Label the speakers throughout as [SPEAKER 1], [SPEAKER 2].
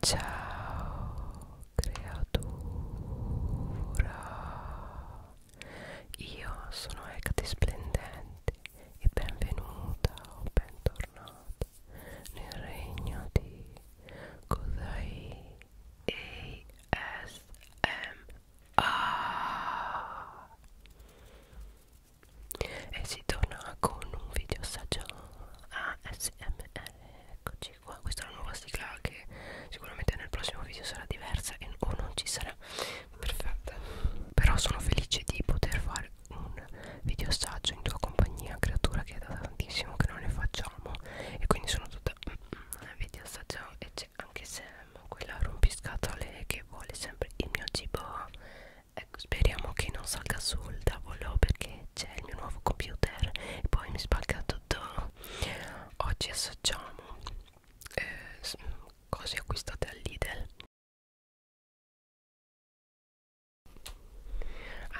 [SPEAKER 1] Ciao creatura, io sono Ecate Splendente e benvenuta o bentornata nel regno di Kodai ASMR e si torna con un video saggio ASMR eccoci qua questa è la nuova sigla che sicuramente nel prossimo video sarà diversa e, o non ci sarà perfetta però sono felice di poter fare un video assaggio in tua compagnia creatura che è da tantissimo che non ne facciamo e quindi sono tutta mm, mm, video assaggio e c'è anche Sam quella rompiscatole che vuole sempre il mio cibo ecco speriamo che non salga sul tavolo perché c'è il mio nuovo computer e poi mi spacca tutto oggi assaggiamo eh, cose acquistate al Lidl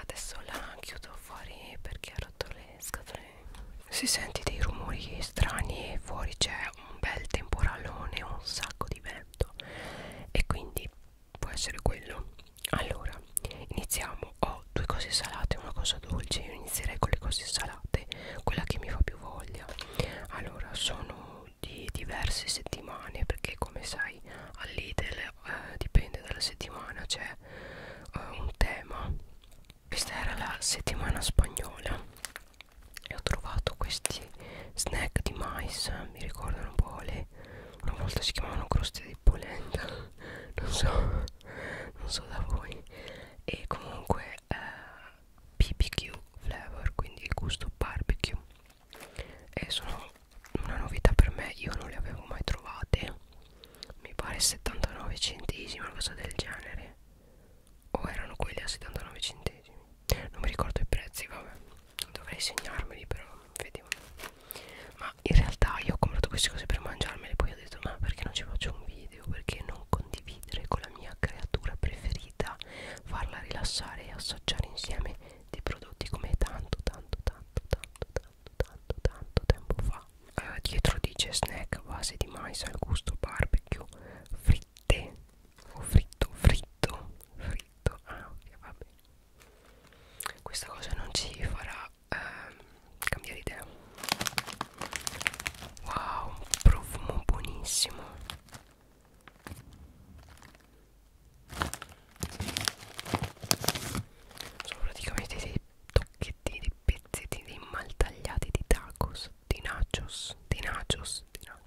[SPEAKER 1] adesso la chiudo fuori perché ha rotto le scatole si sente dei rumori strani e fuori c'è un bel temporalone un sacco di vento e quindi può essere quello allora iniziamo ho due cose salate e una cosa dolce io inizierei con le cose salate quella che mi fa più voglia allora sono di diverse settimane perché come sai all'Idel eh, dipende dalla settimana c'è eh, un tema questa era la settimana spagnola e ho trovato questi snack di mais mi ricordano un po' le una volta si chiamavano croste di polenta non so non so da voi e comunque eh, BBQ flavor quindi il gusto barbecue e sono una novità per me io non le avevo mai trovate mi pare 79 centesimi una cosa del genere o erano quelli a 79 centesimi non mi ricordo i prezzi vabbè dovrei segnarmeli però vediamo ma ma in realtà io ho comprato queste cose per mangiarmele poi ho detto ma perché non ci faccio un video perché non condividere con la mia creatura preferita farla rilassare e assaggiare insieme dei prodotti come tanto tanto tanto tanto tanto tanto tanto tempo fa eh, dietro dice snack a base di mais al gusto barbecue fritte o fritto fritto fritto ah ok va bene questa cosa non ci farà ehm, cambiare idea wow un profumo buonissimo sono praticamente dei tocchetti dei pezzettini mal tagliati di tacos di nachos di nachos di nachos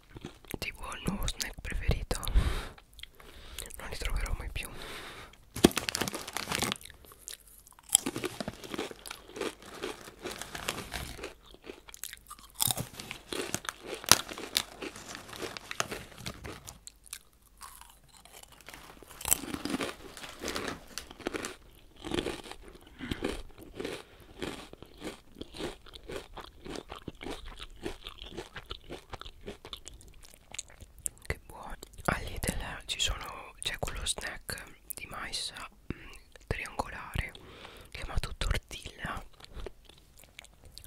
[SPEAKER 1] tipo il nuovo snack preferito non li troverò mai più che buono All'Idel ci sono C'è quello snack di mais mh, mm, triangolare Chiamato tortilla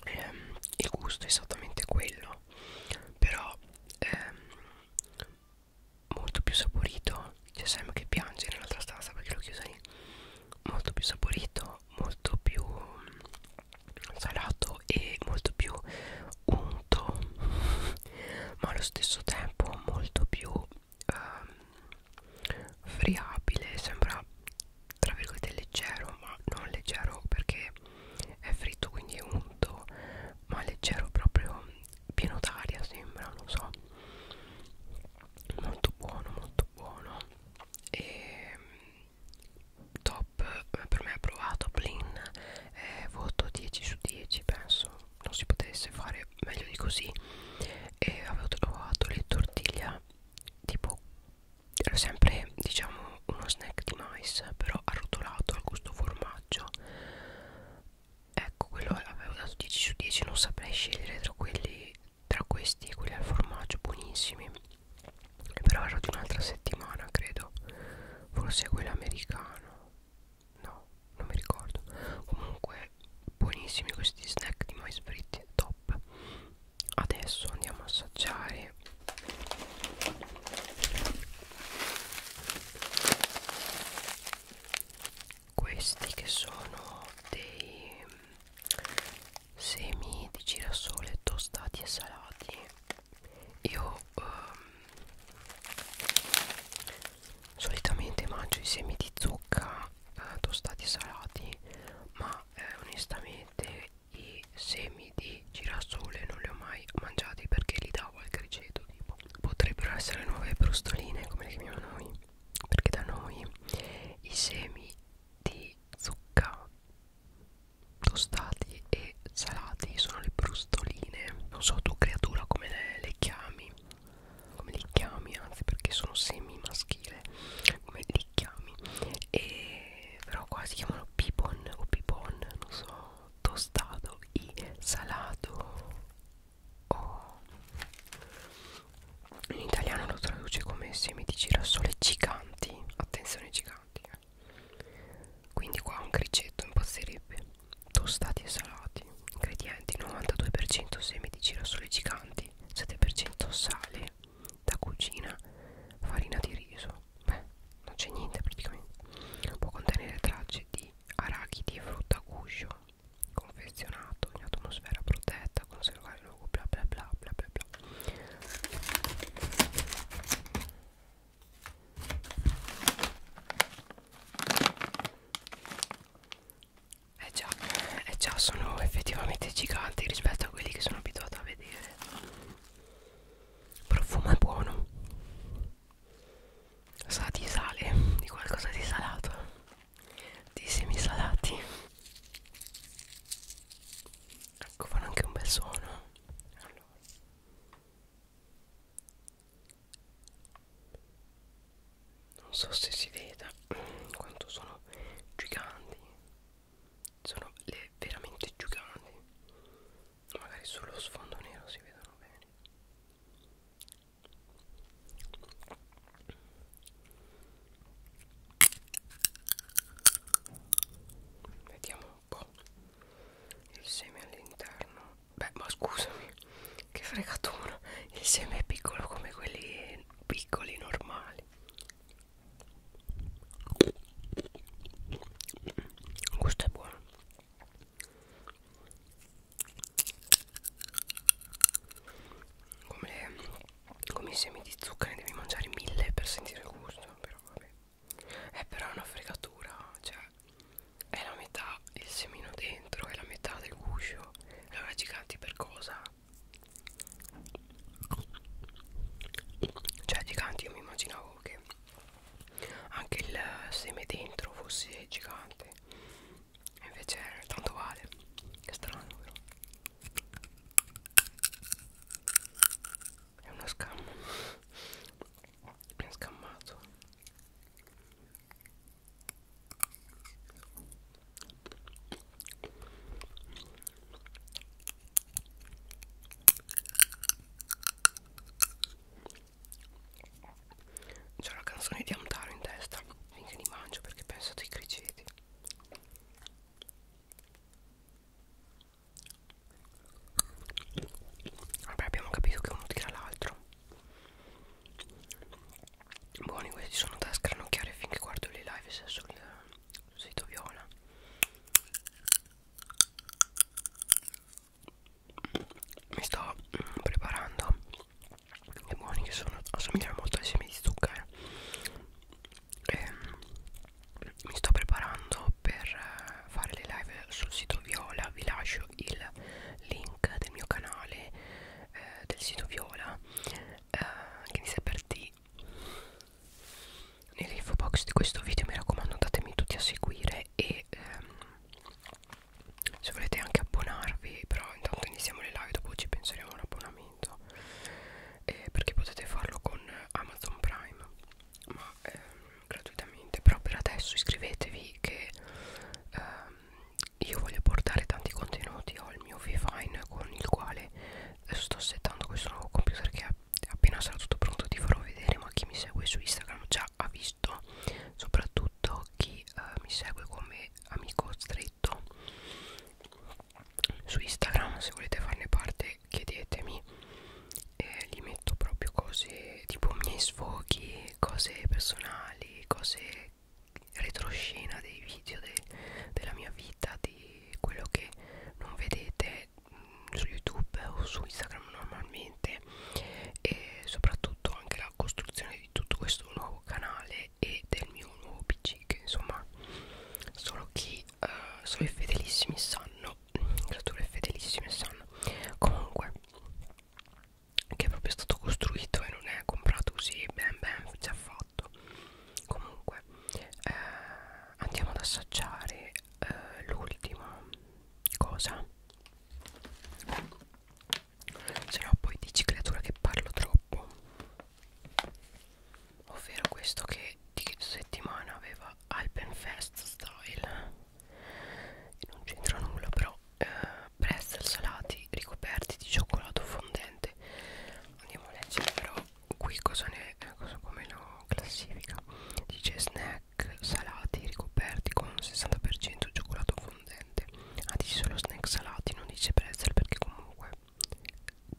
[SPEAKER 1] ehm, Il gusto è esattamente quello Però ehm, Molto più saporito C'è Sam che piange nell'altra stanza perché l'ho chiusa lì molto più saporito molto più mm, salato e molto più unto ma allo stesso tempo molto più ehm, friabile sembra tra virgolette leggero ma non leggero perché è fritto quindi è unto ma leggero proprio mm, pieno d'aria sembra non so molto buono molto buono e top per me approvato Plin eh, voto 10 su 10 penso non si potesse fare meglio di così e avevo trovato le tortiglia tipo era sempre diciamo uno snack di mais però arrotolato al gusto formaggio ecco quello avevo dato 10 su 10 non saprei scegliere tra quelli tra questi quelli al formaggio buonissimi però era di un'altra settimana credo forse quello americano no non mi ricordo comunque buonissimi questi snack di mais fritti top adesso andiamo a assaggiare questi che sono dei semi di girasole tostati e salati io ehm, solitamente mangio i semi di zucca eh, tostati e salati ma eh, onestamente i semi di girasole non li ho mai mangiati perché li davo al criceto tipo. potrebbero essere nuove brustoline come le chiamiamo noi perché da noi i semi di zucca tostati e salati sono le brustoline non so tu creatura come le, le chiami come li chiami anzi perché sono semi maschile come li chiami e però qua si chiamano pipon o pipon non so tostato e salato o oh in italiano lo traduce come semi di girasole giganti attenzione giganti eh. quindi qua un cricetto impazzirebbe tostati e salati ingredienti 92% semi di girasole giganti 7% sale da cucina farina di riso beh non c'è niente praticamente può contenere tracce di arachidi e frutta guscio confezionato in atmosfera protetta conservare luogo bla bla bla bla bla bla eh già, eh già sono effettivamente giganti rispetto a quelli che sono abituato a vedere profumo è buono sa di sale di qualcosa di salato di semi salati ecco fanno anche un bel suono allora. non so se si veda quanto sono giganti sono le veramente giganti magari sullo sfondo nero si vedono bene Vediamo un po' il seme all'interno. Beh, ma scusami, che fregatura! Il seme è piccolo come quelli piccoli normali. Il gusto è buono. Come le come i semi di zucca ne devi mangiare mille per sentire il gusto però vabbè eh, è però una fregatura cioè è la metà il semino dentro è la metà del guscio allora giganti per cosa cioè giganti io mi immaginavo che anche il seme dentro fosse gigante invece tanto vale che strano però è una scamma Mi ha scammato C'ho la canzone di Amtaro in testa finché li mangio perché penso ai criceti Vabbè abbiamo capito che uno tira l'altro Buoni questi sono da scranocchiare finché guardo le live se sul, sul sito viola Mi sto preparando i buoni che sono assomigliano molto ai semi di zucchero eh ehm, mi sto preparando per eh, fare le live sul sito Viola vi lascio il link del mio canale eh, del sito Viola eh, che inizia per D nell'info box di questo video mi raccomando andatemi tutti a seguire e ehm, se volete anche abbonarvi però intanto iniziamo le live dopo ci penseremo a un abbonamento abbonamento eh, perché potete farlo con Amazon Prime ma ehm, gratuitamente però per adesso iscrivetevi che ehm, io voglio portare tanti contenuti ho il mio Vivine con il quale sto settando questo nuovo computer che appena sarà tutto pronto ti farò vedere ma chi mi segue su Instagram già ha visto soprattutto chi eh, mi segue come amico stray scritto su Instagram se volete farne parte chiedetemi eh, gli metto proprio cose tipo miei sfoghi cose personali cose retroscena dei video de, della mia vita di quello che non vedete mh, mm, su youtube o su instagram normalmente e soprattutto anche la costruzione di tutto questo nuovo canale e del mio nuovo pc che insomma solo chi uh, solo i fedelissimi sanno creature cioè fedelissime sanno comunque che è proprio stato costruito e non è comprato così ben ben già fatto comunque eh, andiamo ad assaggiare eh, l'ultima cosa se no poi dici creatura che parlo troppo ovvero questo che di settimana aveva Alpenfest Style e non c'entra nulla però eh, pretzel salati ricoperti di cioccolato fondente andiamo a leggere però qui cosa ne eh, cosa come lo classifica dice snack salati ricoperti con 60% cioccolato fondente ah dice solo snack salati non dice pretzel perché comunque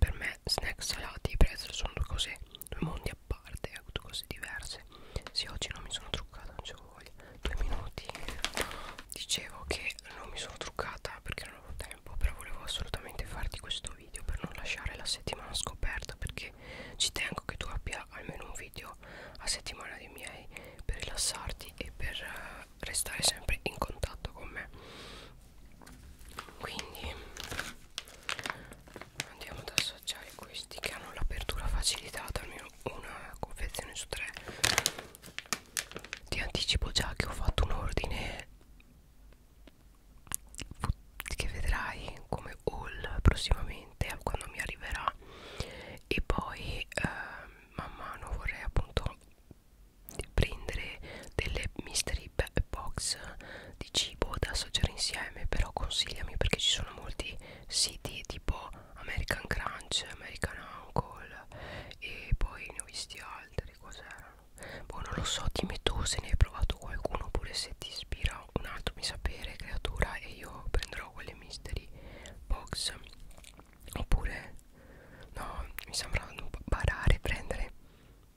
[SPEAKER 1] per me snack salati e pretzel sono due cose due mondi a parte eh, due cose diverse sì oggi non mi sono truccata non ce voglia due minuti dicevo che non mi sono truccata perché non avevo tempo però volevo assolutamente farti questo video per non lasciare la settimana scoperta perché ci tengo che tu abbia almeno un video a settimana dei miei per rilassarti e per eh, restare sempre in contatto con me quindi andiamo ad assaggiare questi che hanno l'apertura facilitata almeno una confezione su tre ti anticipo già che ho fatto un ordine che vedrai come haul prossimamente quando mi arriverà e poi eh, man mano vorrei appunto prendere delle mystery box di cibo da assaggiare insieme però consigliami perché ci sono molti siti tipo American Crunch, American Uncle e poi ne ho visti altri cos'erano? boh non lo so dimmi tu se ne hai provato qualcuno oppure se ti ispira un altro mi sapere creatura e io prenderò quelle mystery box oppure no mi sembra barare prendere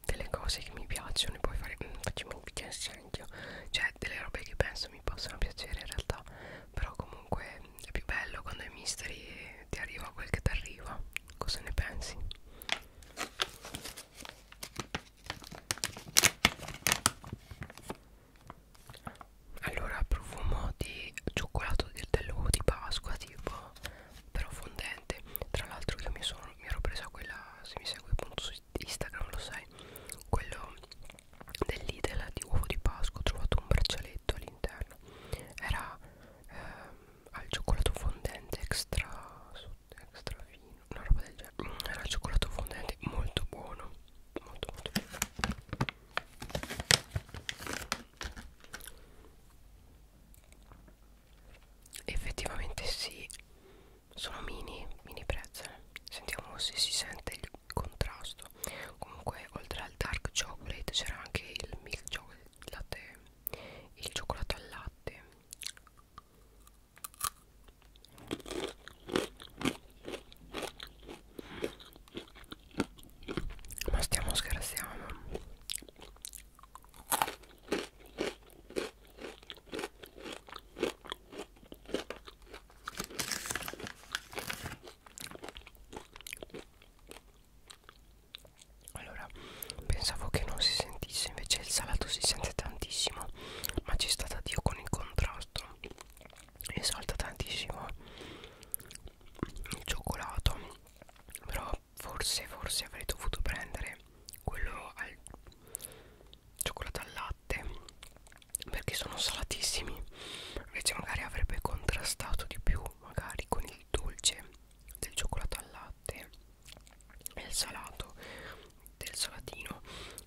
[SPEAKER 1] delle cose che mi piacciono e poi fare mm, facciamo un weekend scempio cioè delle robe che penso mi possono piacere in realtà però comunque è più bello quando i mystery ti arriva quel che ti arriva cosa ne pensi? Allora profumo di cioccolato del dell'uovo di Pasqua tipo però fondente niente tra l'altro io mi, sono, mi ero presa quella se mi segui appunto su Instagram lo sai quello dell'idel di uovo di Pasqua ho trovato un braccialetto all'interno era ehm, al cioccolato fondente extra, extra fino una roba del genere mm, era il cioccolato fondente molto buono molto molto buono effettivamente sì sono mini mini pretzel sentiamo se si sente il contrasto comunque oltre al dark chocolate c'era anche il milk chocolate il cioccolato al latte ma stiamo scherzando allora, pensavo che non si sentisse, invece il salato si sente tantissimo, ma ci sta da Dio con il contrasto. E salta tantissimo il cioccolato, però forse forse avrei dovuto prendere quello al cioccolato al latte perché sono salatissimi invece magari avrebbe contrastato di più magari con il dolce del cioccolato al latte e il salato del salatino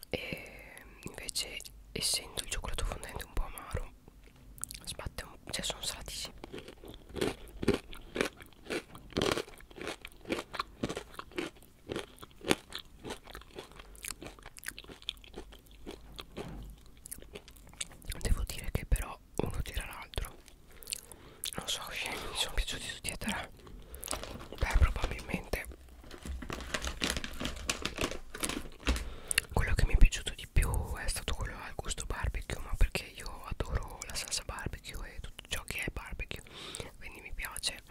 [SPEAKER 1] e invece essendo il cioccolato fondente un po' amaro sbatte un cioè sono salatissimi devo dire che però uno tira l'altro non so scemi mi sono piaciuti tutti e tre beh probabilmente quello che mi è piaciuto di più è stato quello al gusto barbecue ma perché perché io adoro la salsa barbecue e tutto ciò che è barbecue quindi mi piace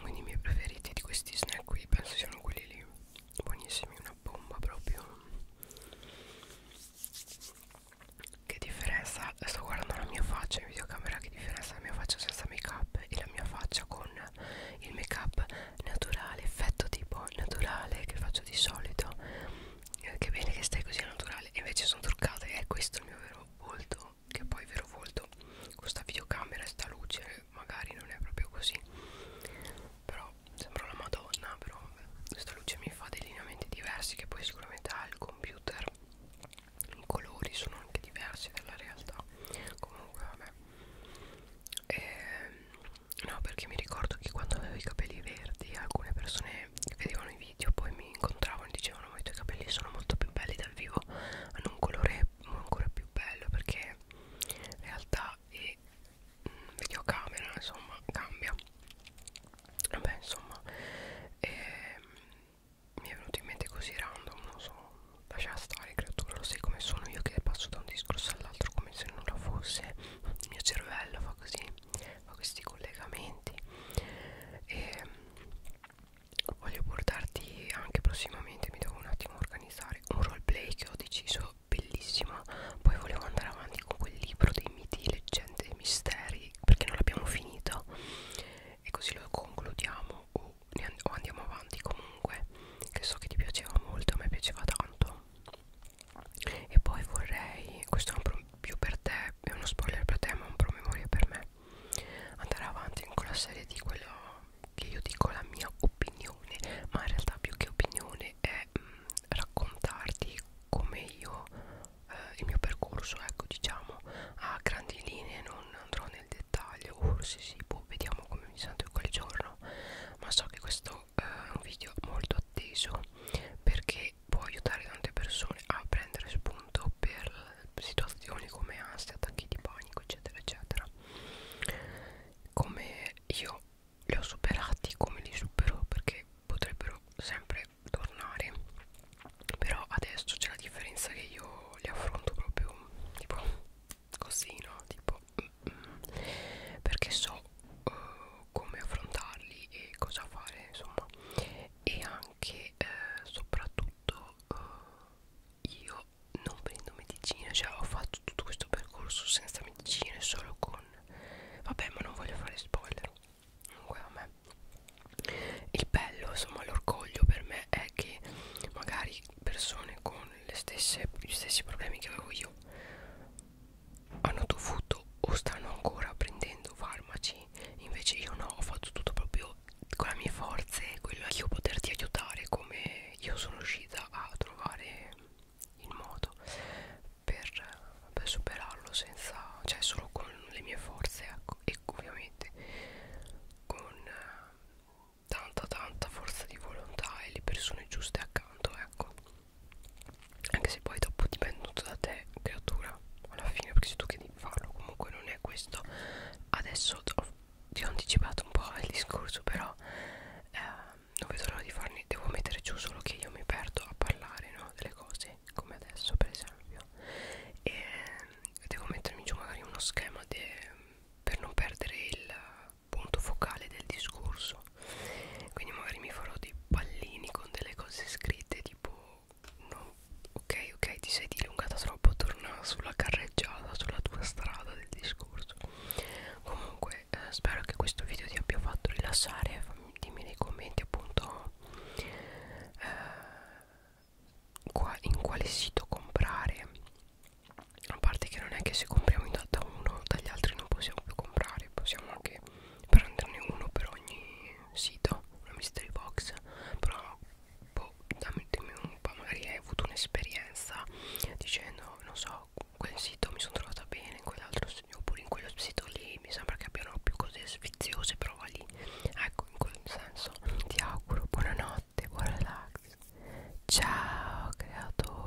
[SPEAKER 1] quindi i miei preferiti di questi snack qui penso siano quelli lì buonissimi una bomba proprio che differenza sto guardando la mia faccia in videocamera che differenza la mia faccia senza make up e la mia faccia con il make up naturale effetto tipo naturale che faccio di solito eh, che bene che stai così naturale e invece sono truccata e eh, questo è il mio vero volto che poi vero volto questa videocamera e sta luce magari non è proprio così però sembra una madonna però questa luce mi fa dei lineamenti diversi che poi sicuramente ha il computer i colori sono anche diversi dalla realtà comunque vabbè e, ehm, No, perché mi ricordo che quando avevo i capelli verdi alcune persone vedevano i video, poi mi incontravano e dicevano ma i tuoi capelli sono molto più belli dal vivo, hanno un colore ancora più bello perché in realtà è mm, videocamera, insomma, cambia. Vabbè, insomma, ehm, mi è venuto in mente così random, non so, lascia stare creatura, lo sai come sono io che passo da un discorso all'altro come se nulla fosse, il mio cervello fa così fa questi collegamenti e voglio portarti anche prossimamente mi devo un attimo organizzare un roleplay che ho deciso bellissimo poi volevo andare avanti con quel libro dei miti, leggende e misteri perché non l'abbiamo finito e così lo concludiamo o, and o andiamo avanti comunque che so che ti piaceva molto a me piaceva tanto e poi vorrei questo è un pro più per te è uno spoiler per te ma un promemoria per me andare avanti con la serie di quello che io dico la mia opinione ma in realtà più che opinione è mh, mm, raccontarti come io eh, il mio percorso ecco diciamo a grandi linee non andrò nel dettaglio forse uh, sì boh, vediamo come mi sento in quel giorno ma so che questo eh, un video molto atteso perché può aiutare tante persone a prendere spunto per situazioni come ansia, attacchi di panico eccetera eccetera come io li ho superati come li supero perché potrebbero sempre tornare però adesso c'è la differenza che io li affronto proprio tipo così no tipo mm, mm, perché so eh, come affrontarli e cosa fare insomma e anche eh, soprattutto eh, io non prendo medicina cioè ho fatto tutto questo percorso senza medicine solo con vabbè ma non voglio fare spoiler comunque a me il bello insomma l'orgoglio per me è che magari persone con le stesse, gli stessi problemi che avevo io hanno dovuto o stanno ancora prendendo farmaci invece io no ho fatto tutto proprio con le mie forze quello che io poterti aiutare come io sono riuscita a trovare il modo per, per superarlo senza cioè solo con le mie forze ecco, e ovviamente con eh, tanta tanta forza di volontà e le persone giuste accanto ecco anche se poi dopo dipende tutto da te creatura alla fine perché sei tu che devi farlo comunque non è questo adesso ti ho anticipato un po' il discorso però eh, non vedo l'ora di farne devo mettere giù solo che io mi perdo a parlare no, delle cose come adesso per esempio e ehm, devo mettermi giù magari uno schema de, per non perdere il punto focale del discorso quindi magari mi farò dei pallini con delle cose scritte tipo no, ok ok ti sei dilungata troppo torna sulla carreggiata sulla tua strada del discorso comunque eh, spero che questo video ti abbia fatto rilassare fammi, dimmi nei commenti appunto eh, qua, in quale sito comprare a parte che non è che se compriamo da uno dagli altri non possiamo più comprare possiamo anche prenderne uno per ogni sito una mystery box però boh, dammi un po' magari hai avuto un'esperienza dicendo non so quel sito mi sono trovata bene in quell'altro oppure in quello sito lì mi sembra che abbiano più cose sfiziose però va lì ecco in quel senso ti auguro buonanotte buon relax ciao creatura